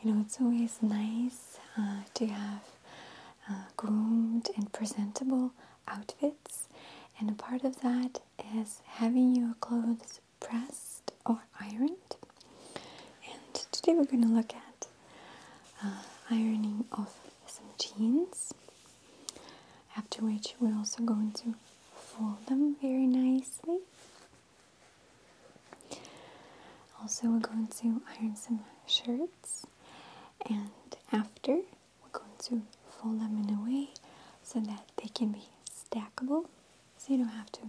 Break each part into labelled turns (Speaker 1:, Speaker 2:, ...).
Speaker 1: You know, it's always nice uh, to have uh, groomed and presentable outfits, and a part of that is having your clothes pressed or ironed. And today we're going to look at uh, ironing of some jeans, after which we're also going to fold them very nicely also, we're going to iron some shirts, and after, we're going to fold them in a way so that they can be stackable. So you don't have to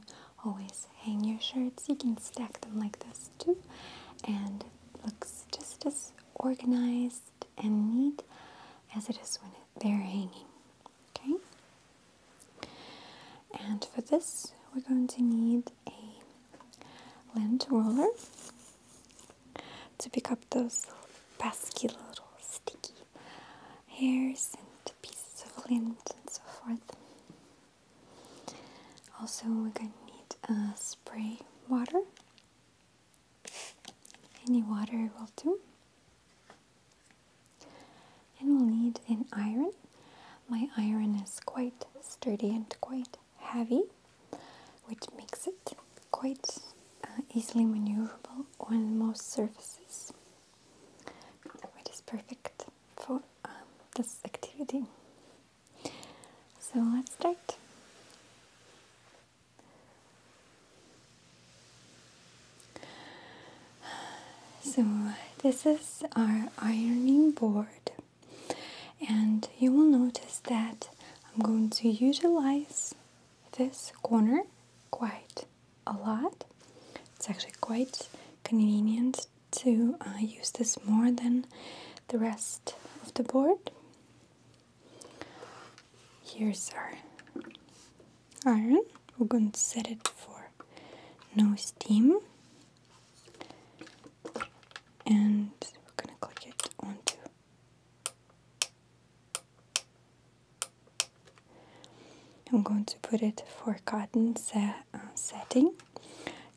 Speaker 1: always hang your shirts, you can stack them like this too, and looks just as organized and neat as it is when they're hanging. Okay? And for this, we're going to need a lint roller to pick up those pesky little sticky hairs and pieces of lint and so forth. Also, we're going to need a uh, spray water. Any water will do and we'll need an iron. My iron is quite sturdy and quite heavy, which makes it quite uh, easily maneuverable on most surfaces, It is perfect for um, this activity. So let's start. So, this is our ironing board. And you will notice that I'm going to utilize this corner quite a lot. It's actually quite convenient to uh, use this more than the rest of the board. Here's our iron. We're going to set it for no steam and we're going to click it onto. I'm going to put it for cotton se uh, setting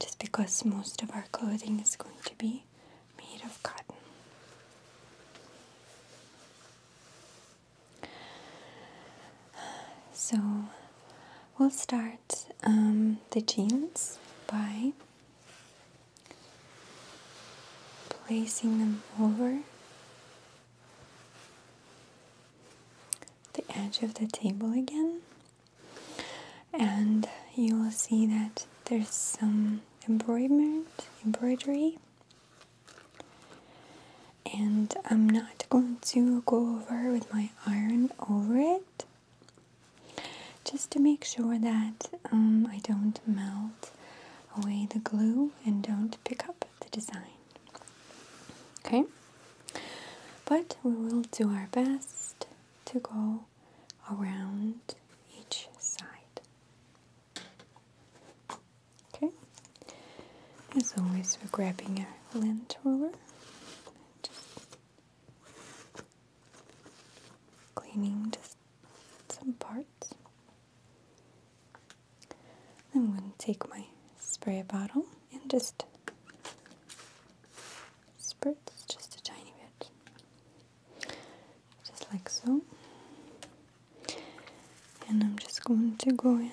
Speaker 1: just because most of our clothing is going to be made of cotton. So we'll start um, the jeans by placing them over the edge of the table again and you will see that there's some embroiderment embroidery and I'm not going to go over with my iron over it just to make sure that um, I don't melt away the glue and don't pick up the design. Okay? But we will do our best to go around each side. Okay? As always, we're grabbing our lint roller cleaning just some parts. I'm going to take my spray bottle and just spritz just a tiny bit, just like so. And I'm just going to go in and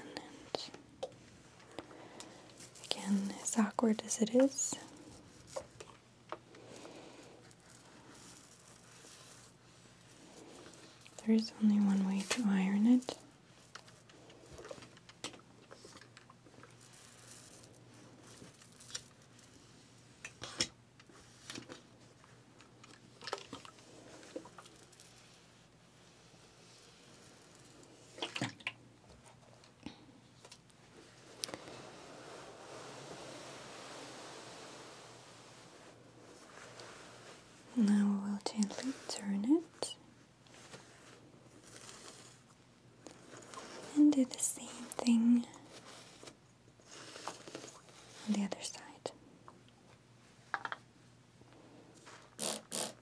Speaker 1: Again, as awkward as it is. There is only one way to iron it. Now we'll gently turn it and do the same thing on the other side.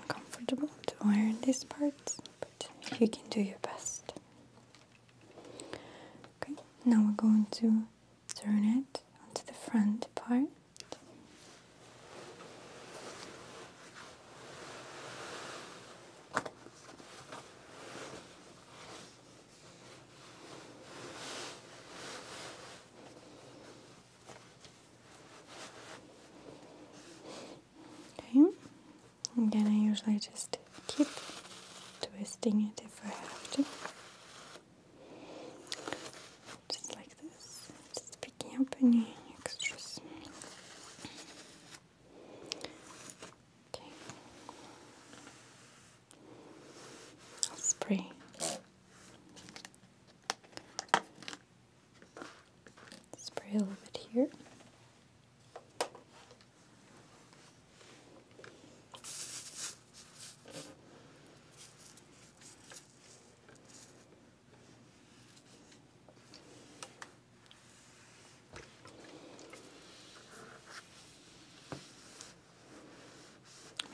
Speaker 1: uncomfortable to iron these parts, but you can do your best. Okay, now we're going to turn it onto the front part. Okay, and then I usually just keep twisting it if I have to. Just like this, just picking up any extras. Okay, spray. Spray a little bit here.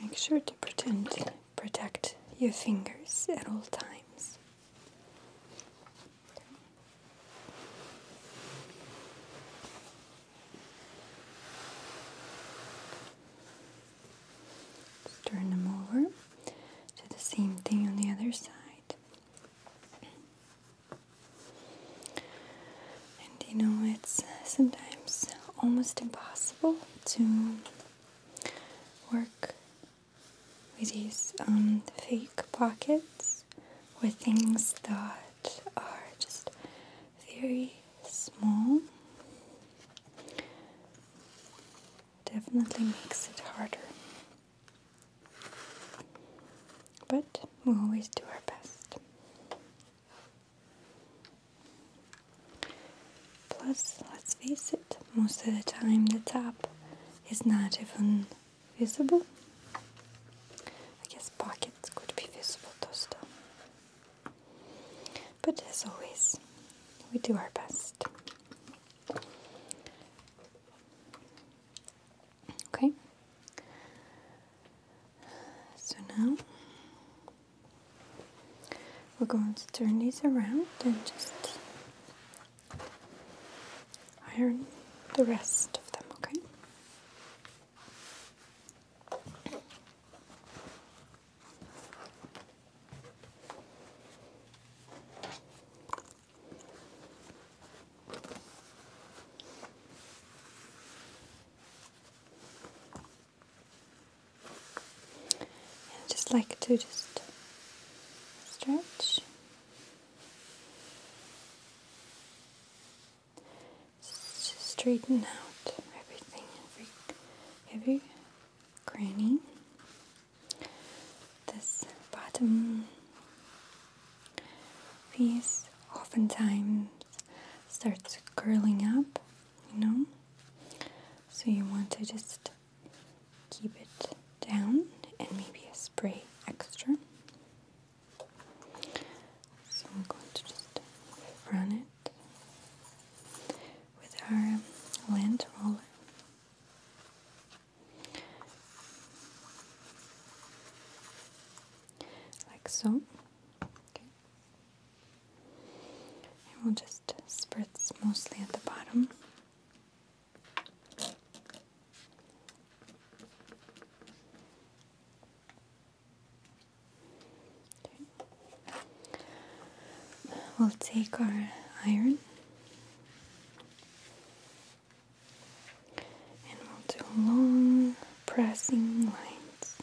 Speaker 1: Make sure to protect your fingers at all times turn them over. Do the same thing on the other side. And you know, it's uh, sometimes almost impossible to work with these um, fake pockets with things that are just very small. Definitely makes it harder. But we will always do our best. Plus, let's face it, most of the time the tap is not even visible. I guess pockets could be visible too But as always, we do our best. Okay. So now we're going to turn these around and just iron the rest of them, okay? I just like to just stretch Straighten out everything, every, every cranny. This bottom piece oftentimes starts curling up, you know? So you want to just keep it down and maybe a spray extra. So I'm going to just run it with our lint roller. Like so. Okay. And we'll just spritz mostly at the bottom. We'll take our iron and we'll do long pressing lines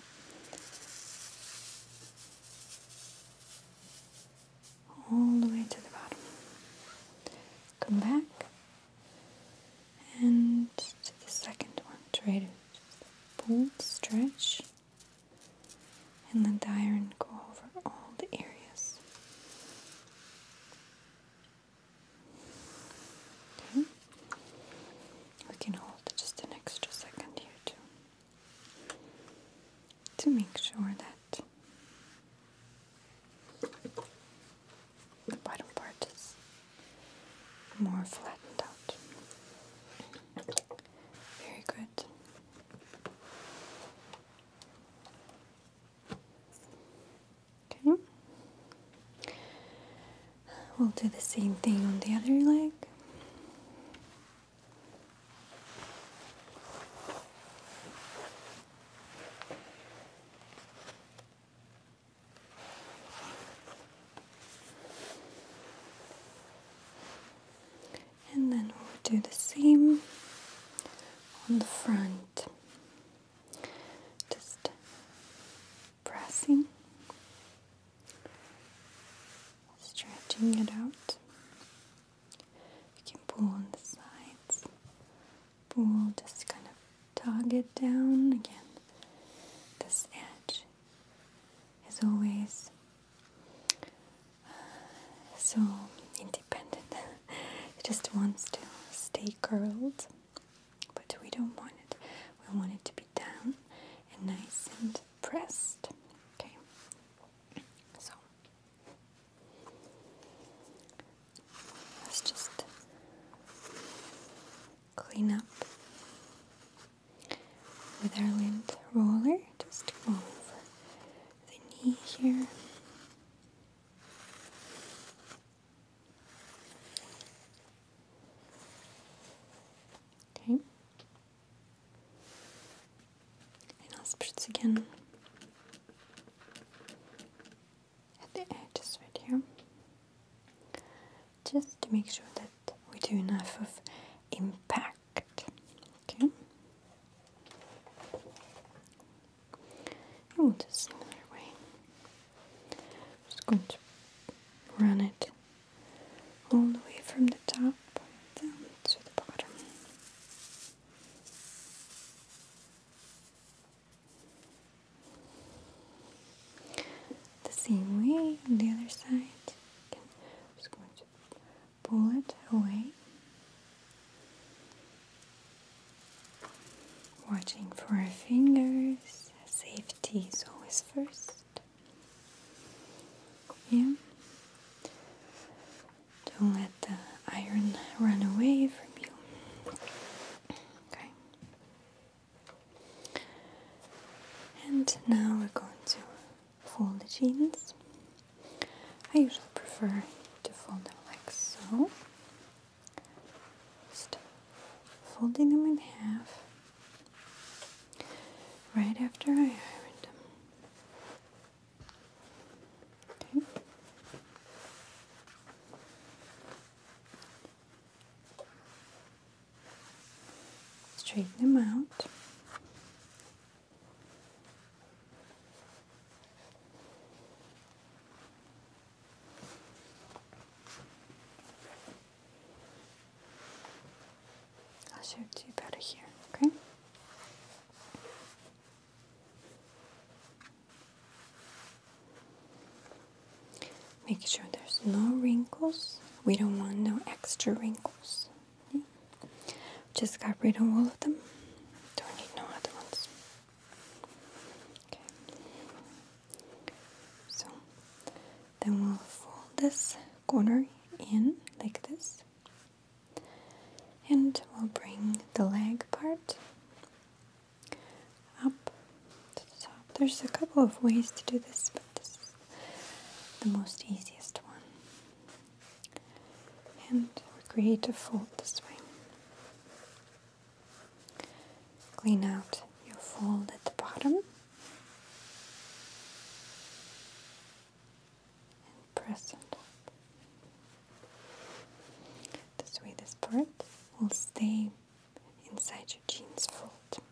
Speaker 1: all the way to the bottom. Come back and to the second one, try to pull, stretch, and let the iron go over all the areas. Okay. We can hold just an extra second here too to make sure that the bottom part is more flattened out. Very good. Okay. We'll do the same thing on the other leg. And then we'll do the same on the front, just pressing, stretching it out. You can pull on the sides We'll just kind of tug it down again. This edge is always uh, so independent. it just wants to stay curled, but we don't want it. We want it to be down and nice and pressed. Okay, so Let's just clean up with our lint roller, just move over the knee here. Okay. And let's spritz again at the edges right here just to make sure that we do enough of impact okay and we'll do a similar way I'm just going to run it all the way from the top down to the bottom the same way on the other side. Okay. just going to pull it away. Watching for our fingers. Safety is always first. Yeah. Don't let the iron run away from you. Okay. And now we're going to fold the jeans. I usually prefer to fold them like so. Just folding them in half right after I iron them. Okay. Straighten them out. I'll show you better here, okay? Make sure there's no wrinkles. We don't want no extra wrinkles. Just got rid of all of them. Don't need no other ones. Okay. So then we'll fold this corner in like this. And we'll bring the leg part up to the top. There's a couple of ways to do this, but this is the most easiest one. And we create a fold this way. Clean out your fold at the bottom. And press it top. This way this part will stay inside your jeans fold.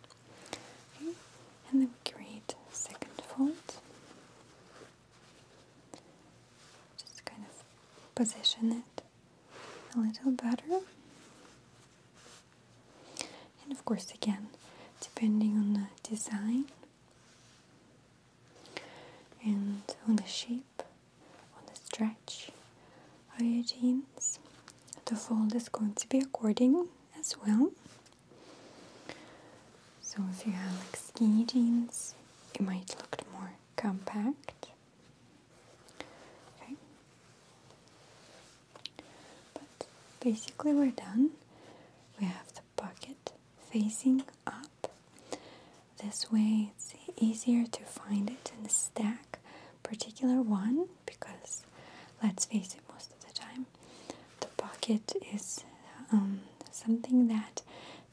Speaker 1: and then we create second fold. Just kind of position it a little better. And of course again, depending on the design and on the shape on the stretch of your jeans. The fold is going to be according as well. So if you have like skinny jeans, it might look more compact. Okay. But basically we're done. We have the pocket facing up this way it's easier to find it in the stack, particular one, because let's face it, most of the time the pocket is um, something that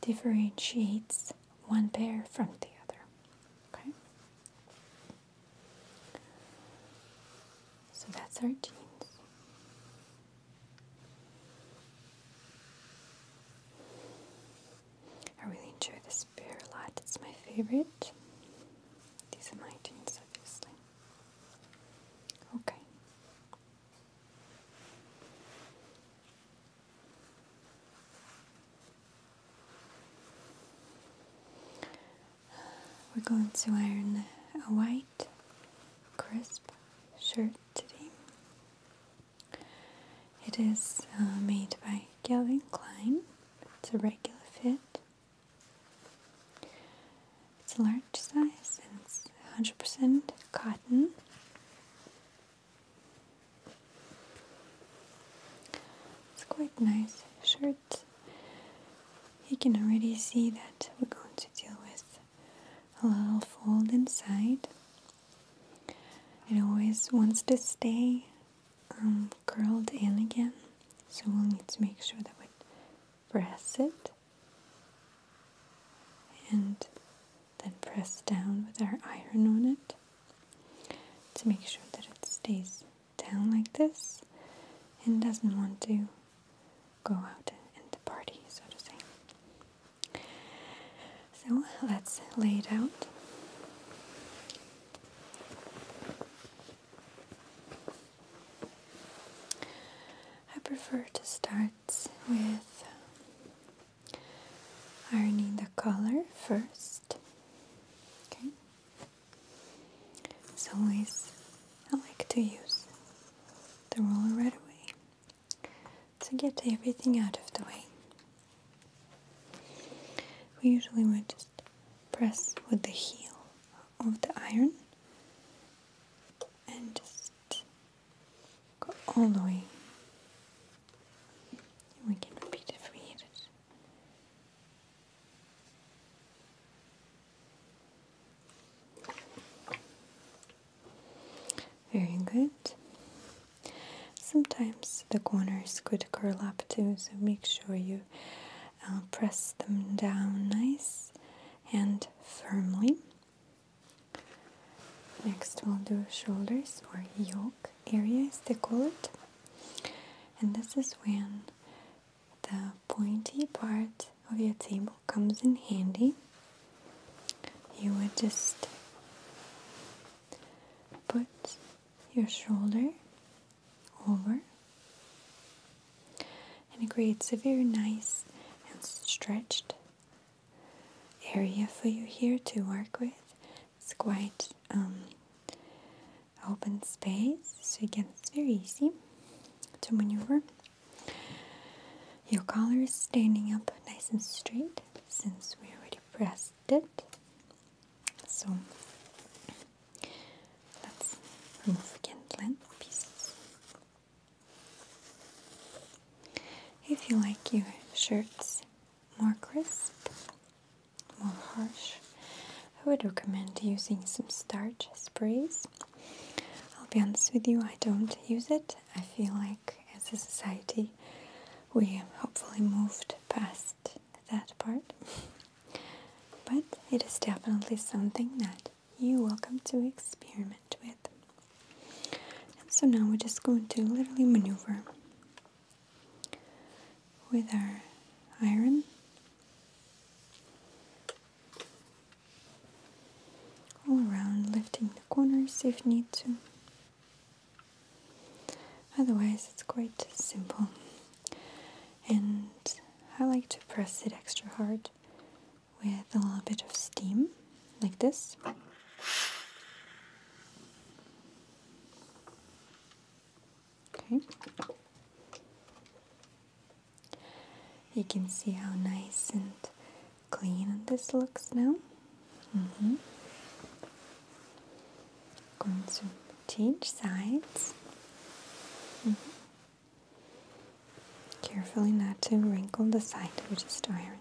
Speaker 1: differentiates one pair from the other. Okay? So that's our jeans. I really enjoy this Spear it's my favorite. These are my tunes, obviously. Okay. We're going to iron a white, crisp shirt today. It is uh, made by Calvin Klein. It's a regular fit. It's a large size and it's 100% cotton. It's quite nice shirt. You can already see that we're going to deal with a little fold inside. It always wants to stay um, curled in again. So we'll need to make sure that we press it and then press down with our iron on it to make sure that it stays down like this and doesn't want to go out and party, so to say. So let's lay it out. I prefer to start with ironing the collar first. Okay. As always, I like to use the roller right away to get everything out of the way. We usually would just press with the heel of the iron and just go all the way. We can repeat if we Very good. Sometimes the corners could curl up too, so make sure you uh, press them down nice and firmly. Next, we'll do shoulders or yoke area, as they call it. And this is when the pointy part of your table comes in handy. You would just put your shoulder over, and it creates a very nice and stretched area for you here to work with. It's quite um, open space, so again, it's very easy to maneuver. Your collar is standing up nice and straight since we already pressed it. So let's remove again length pieces. If you like your shirts more crisp, more harsh, I would recommend using some starch sprays. I'll be honest with you, I don't use it. I feel like as a society we have hopefully moved past that part. but it is definitely something that you welcome to experiment with. And so now we're just going to literally maneuver with our iron. All around, lifting the corners if need to, Otherwise, it's quite simple. And I like to press it extra hard with a little bit of steam, like this. Okay. You can see how nice and clean this looks now. Mm-hmm going to change sides. Mm-hmm. Carefully not to wrinkle the side that we just ironed.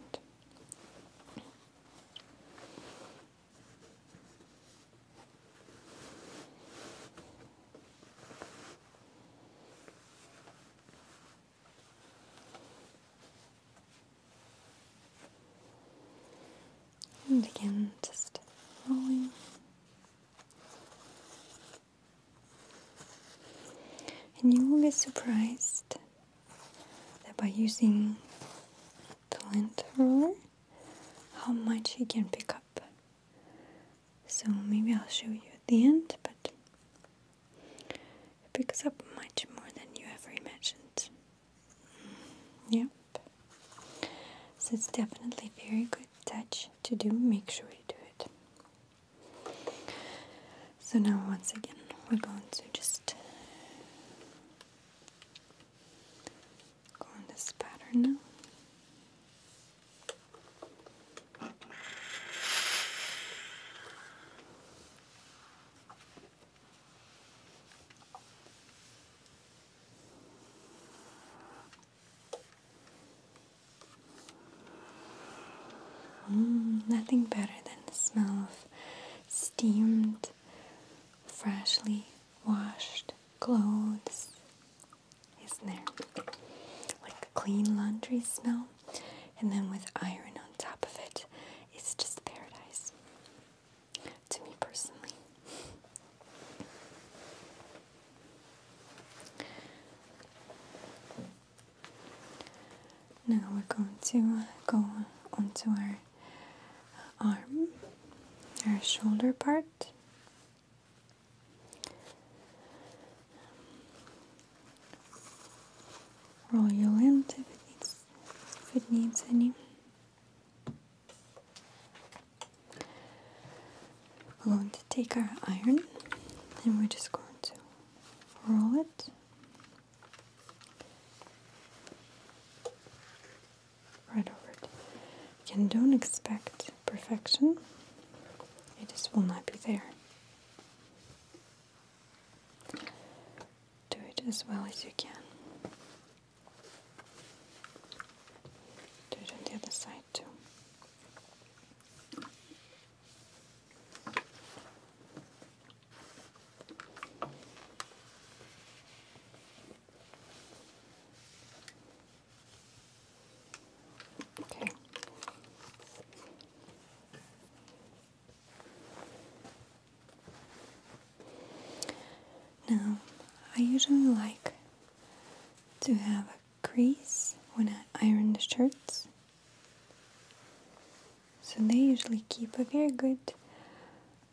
Speaker 1: And again, just rolling. And you will be surprised that by using the lint roller, how much you can pick up. So maybe I'll show you at the end, but it picks up much more than you ever imagined. Yep. So it's definitely very good touch to do. Make sure you do it. So now once again we're going to just go on this pattern now. Mm, nothing better than the smell of steamed, freshly washed clothes, isn't there? Like clean laundry smell, and then with iron on top of it, it's just paradise to me personally. Now we're going to uh, go onto our uh, arm, our shoulder part. Roll your lint if it needs, if it needs any. We're going to take our iron and we're just going to roll it right over it. Again, don't expect perfection, it just will not be there. Do it as well as you can. Do it on the other side too. Okay. Now, I usually like to have a crease when I iron the shirts. So they usually keep a very good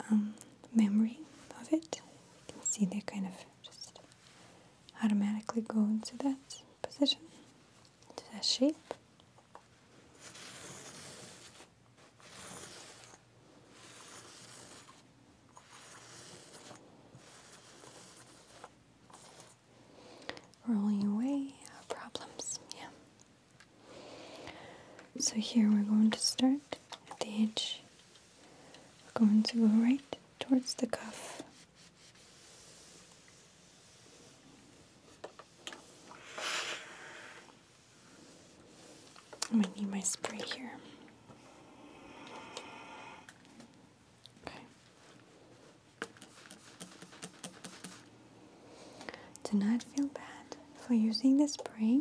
Speaker 1: um, memory of it. You can see they kind of just automatically go into that position, into that shape. Rolling away problems, yeah. So here we're going to start at the edge. going to go right towards the cuff. I might need my spray here. Do not feel bad for using the spray.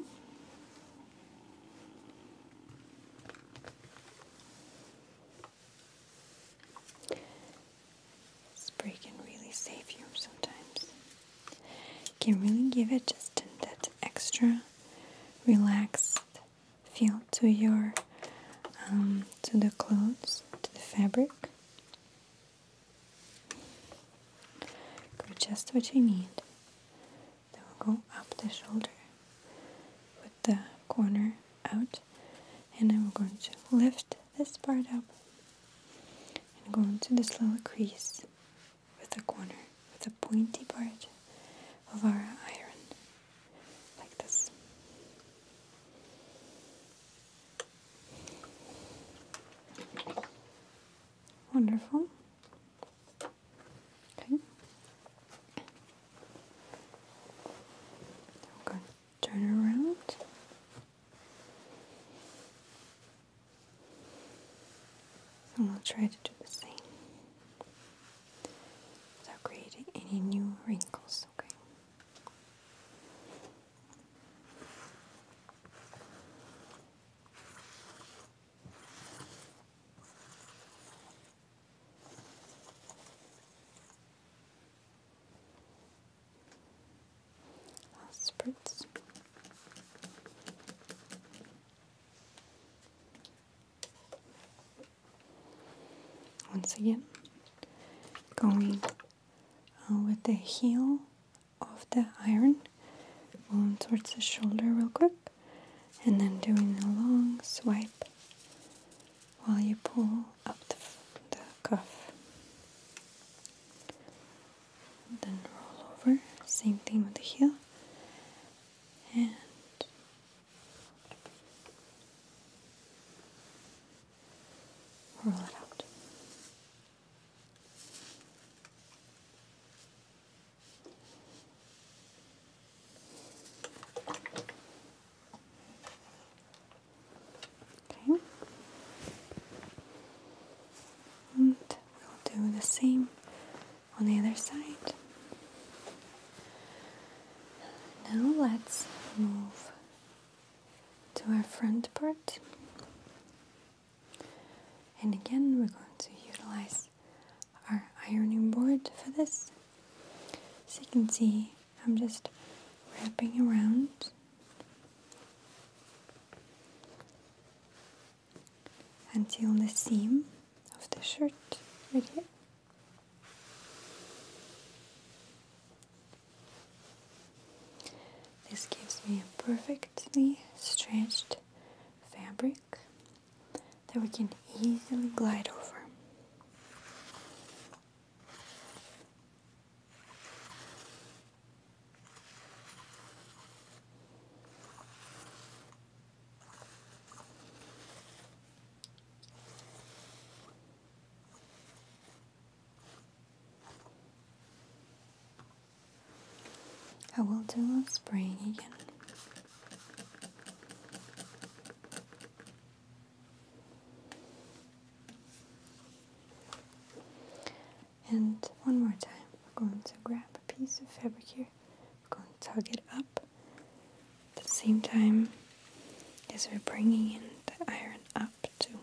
Speaker 1: Spray can really save you sometimes. Can really give it just that extra relax feel to your um, to the clothes, to the fabric. Go just what you need. Then we'll go up the shoulder with the corner out, and then we're going to lift this part up and go into this little crease with the corner, with the pointy part of our iron, like this. Wonderful. Okay. I'm going to turn around. And I'll try to do the same without creating any new wrinkles, okay? I'll once again, going uh, with the heel of the iron, going towards the shoulder real quick, and then doing a long swipe while you pull up the, cuff. then roll over, same thing with the heel, and Roll it out. Okay. And we'll do the same on the other side. Now let's move to our front part. And again, we're going to utilize our ironing board for this. As you can see, I'm just wrapping around until the seam of the shirt right here. This gives me a perfectly stretched fabric that we can easily glide over. I will do spraying again. And one more time, I'm going to grab a piece of fabric here going to tug it up at the same time as we're bringing in the iron up too,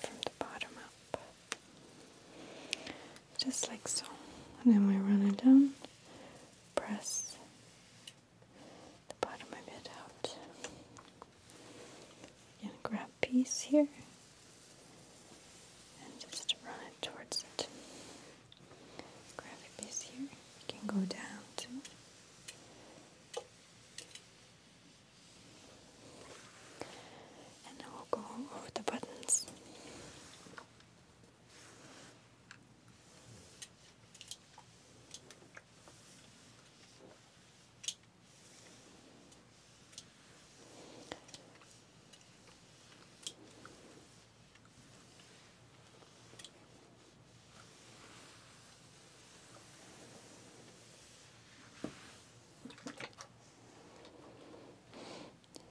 Speaker 1: from the bottom up. Just like so. And then we run it down, press the bottom of it out. And grab piece here and just run it towards it. Grab a here. You can go down too. And now we'll go over the buttons.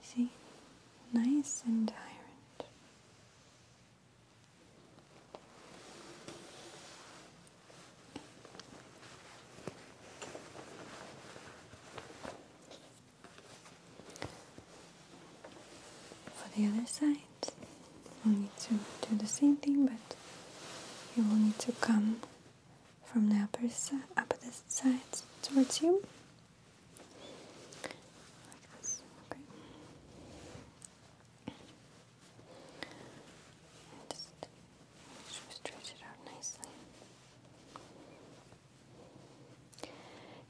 Speaker 1: See, nice and ironed. For the other side, you will need to do the same thing, but you will need to come from the upper side, opposite side towards you. Like this, okay. And just stretch it out nicely.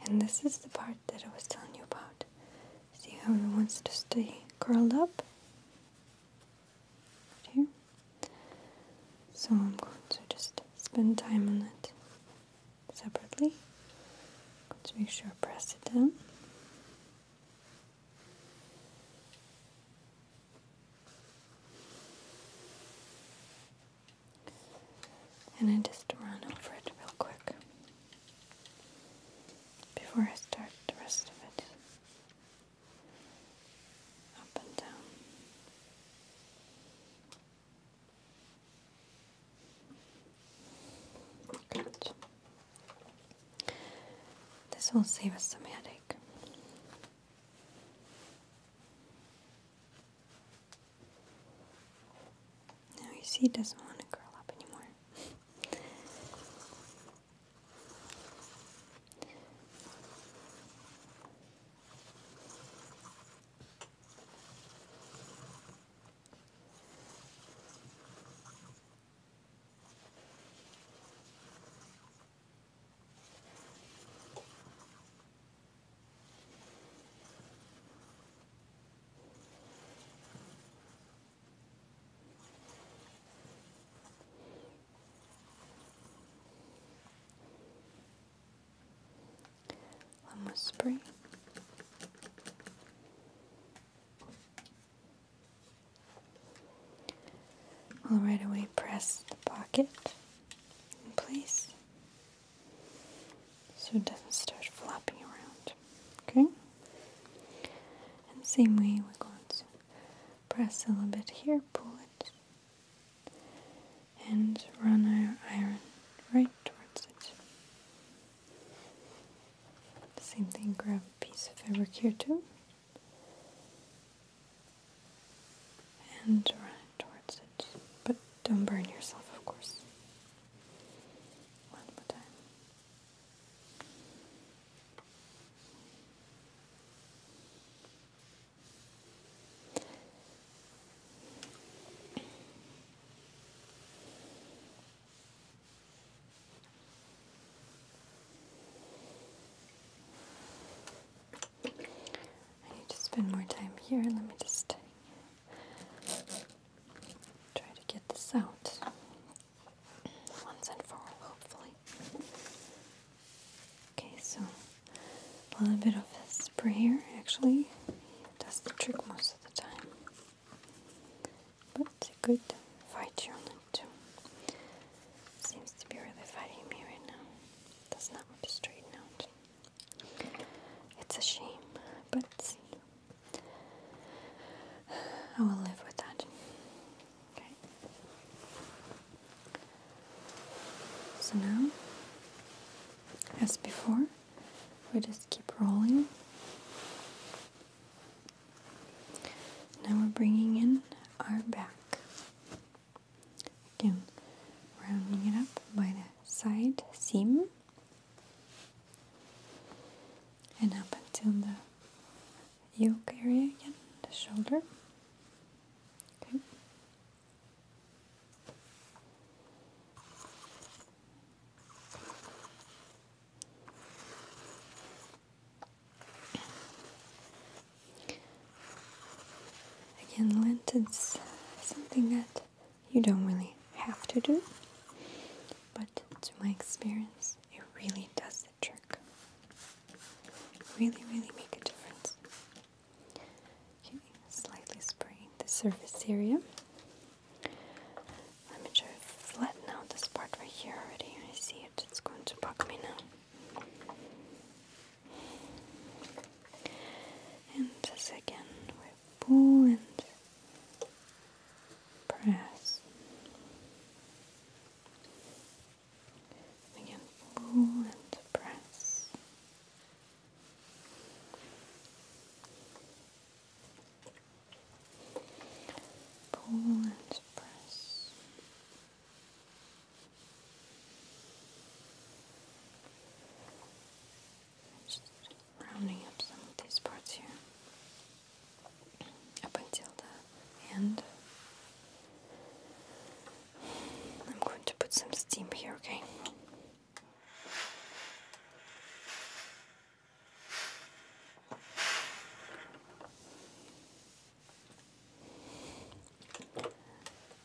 Speaker 1: And this is the part that I was telling you about. See how it wants to stay curled up? Right here. So I'm going to just spend time on it separately. Let's make sure I press it down. And I just run over it real quick before I start the rest of it. Up and down. Good. This will save us some headache. Now you see he doesn't want to curl up anymore. One more spray. i will right away press the pocket in place so it doesn't start flopping around. Okay? And same way we're going to press a little bit here, pull it, and run our iron right towards it. Same thing, grab a piece of fabric here too. And run towards it. But don't burn yourself, of course. One more time. I need to spend more time here. Let me just try to get this out once and for all, hopefully. Okay, so a little bit of spray here actually does the trick most of the time, but it could fight you on too. Seems to be really fighting me right now. Does not want to straighten out. It's a shame, but I will live with that. Okay. So now, as before, we just keep rolling. Now we're bringing in our back. Again, rounding it up by the side seam and up until the yoke area again, the shoulder. Again, lint is something that you don't really have to do, but to my experience, it really does the trick. Really, really make a difference. Okay, slightly spraying the surface area. Let me try to flatten out this part right here already. I see it, it's going to bug me now. And this again pull and press. Again, pull and press. Pull and press rounding up some of these parts here up until the end. I'm going to put some steam here, okay?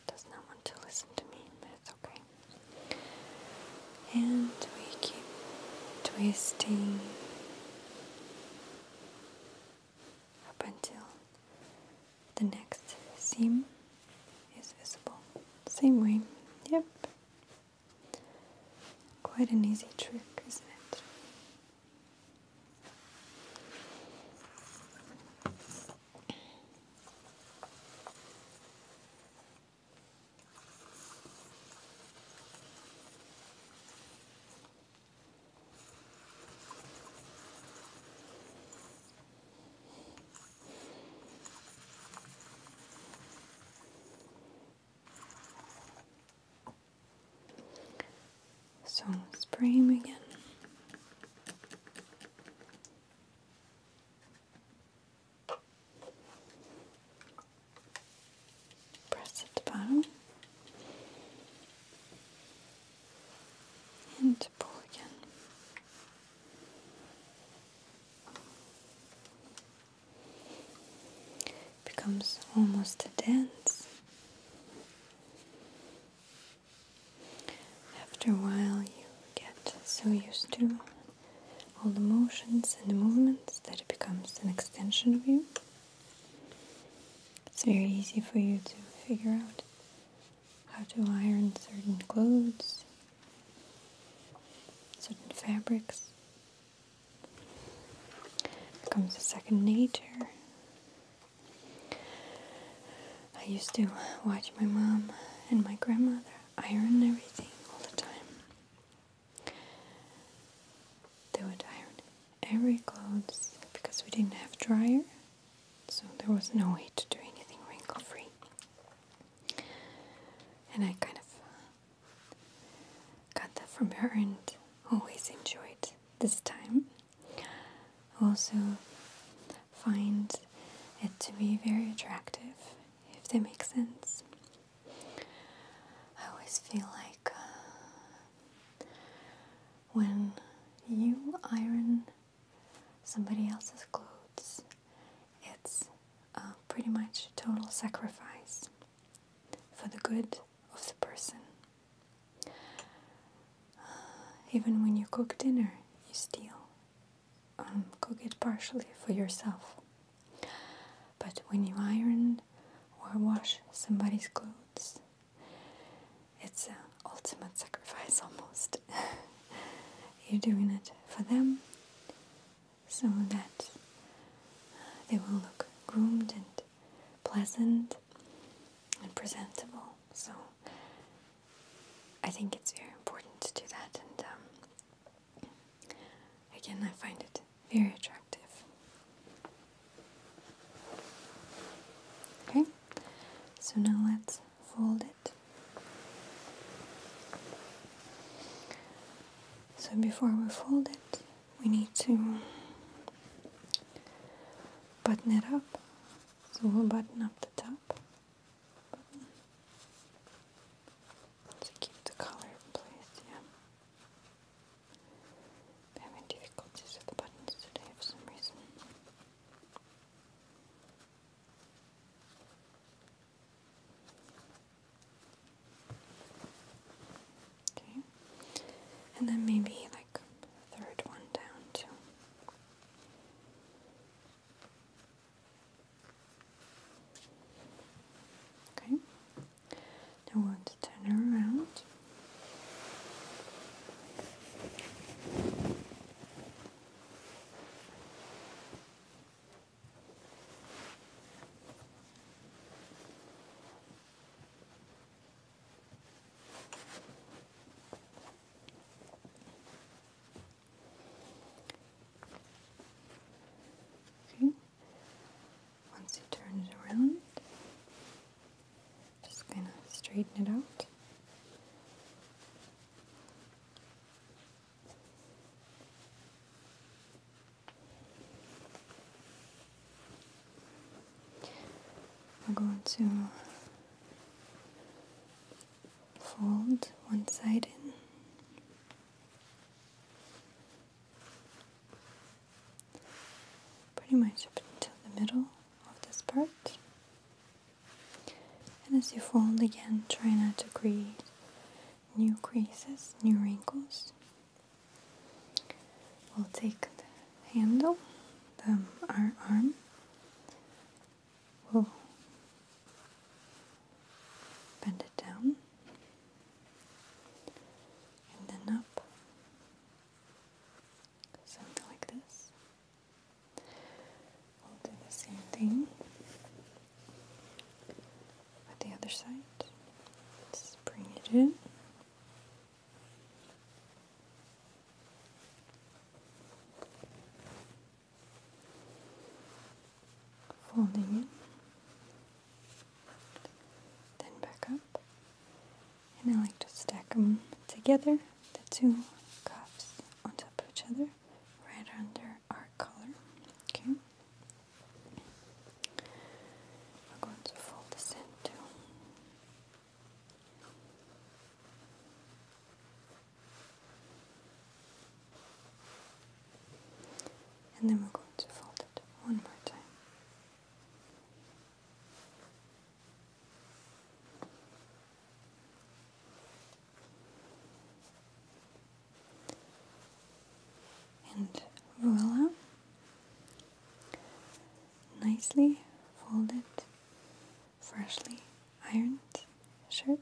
Speaker 1: Does not want to listen to me, okay and we keep twisting up until the next seam is visible. Same way, yep. Quite an easy trick, isn't it? So let's frame again. Press at the bottom and pull again. It becomes almost a dance. After a while, you get so used to all the motions and the movements that it becomes an extension of you. It's very easy for you to figure out how to iron certain clothes, certain fabrics. It becomes a second nature. I used to watch my mom and my grandmother iron everything all the time. They would iron every clothes because we didn't have dryer, so there was no way to do anything wrinkle free. And I kind of got that from her and always enjoyed this time. Also, find it to be very attractive if that makes sense. I always feel like uh, when you iron somebody else's clothes, it's uh, pretty much total sacrifice for the good of the person. Uh, even when you cook dinner, you steal. Um, cook it partially for yourself. But when you iron or wash somebody's clothes, it's an ultimate sacrifice almost. You're doing it for them so that uh, they will look groomed and pleasant and presentable. So I think it's very important to do that, um, Again, I find it very attractive. Okay, so now let's fold it. So before we fold it, we need to button it up. So we'll button up the top to keep the color place, yeah. having difficulties with the buttons today for some reason. Okay. And then maybe like third one down too. Okay. Now I want to turn her around. Okay. Once you turn it around, just gonna straighten it out. We're going to fold one side in pretty much up until the middle of this part. And as you fold again, try not to create new creases, new wrinkles. We'll take the handle, the, our arm, we'll bend it down, and then up. Something like this. We'll do the same thing with the other side. Just bring it in. Folding in then back up. And I like to stack them together, the two cups on top of each other, right under our collar. Okay. We're going to fold this in too. And then we're going to fold it one more time. And voila, nicely folded, freshly ironed shirt.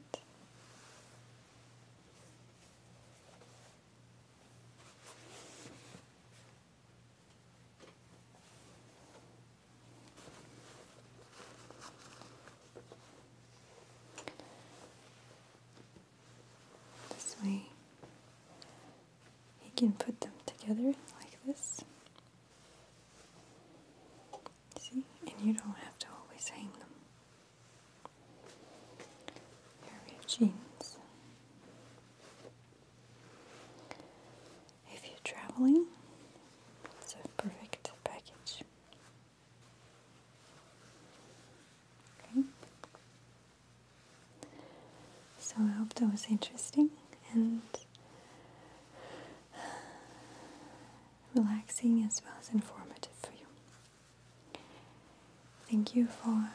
Speaker 1: This way, he can put them together like this. See, and you don't have to always hang them. Here we jeans. If you're traveling, it's a perfect package. Okay. So I hope that was interesting and relaxing as well as informative for you. Thank you for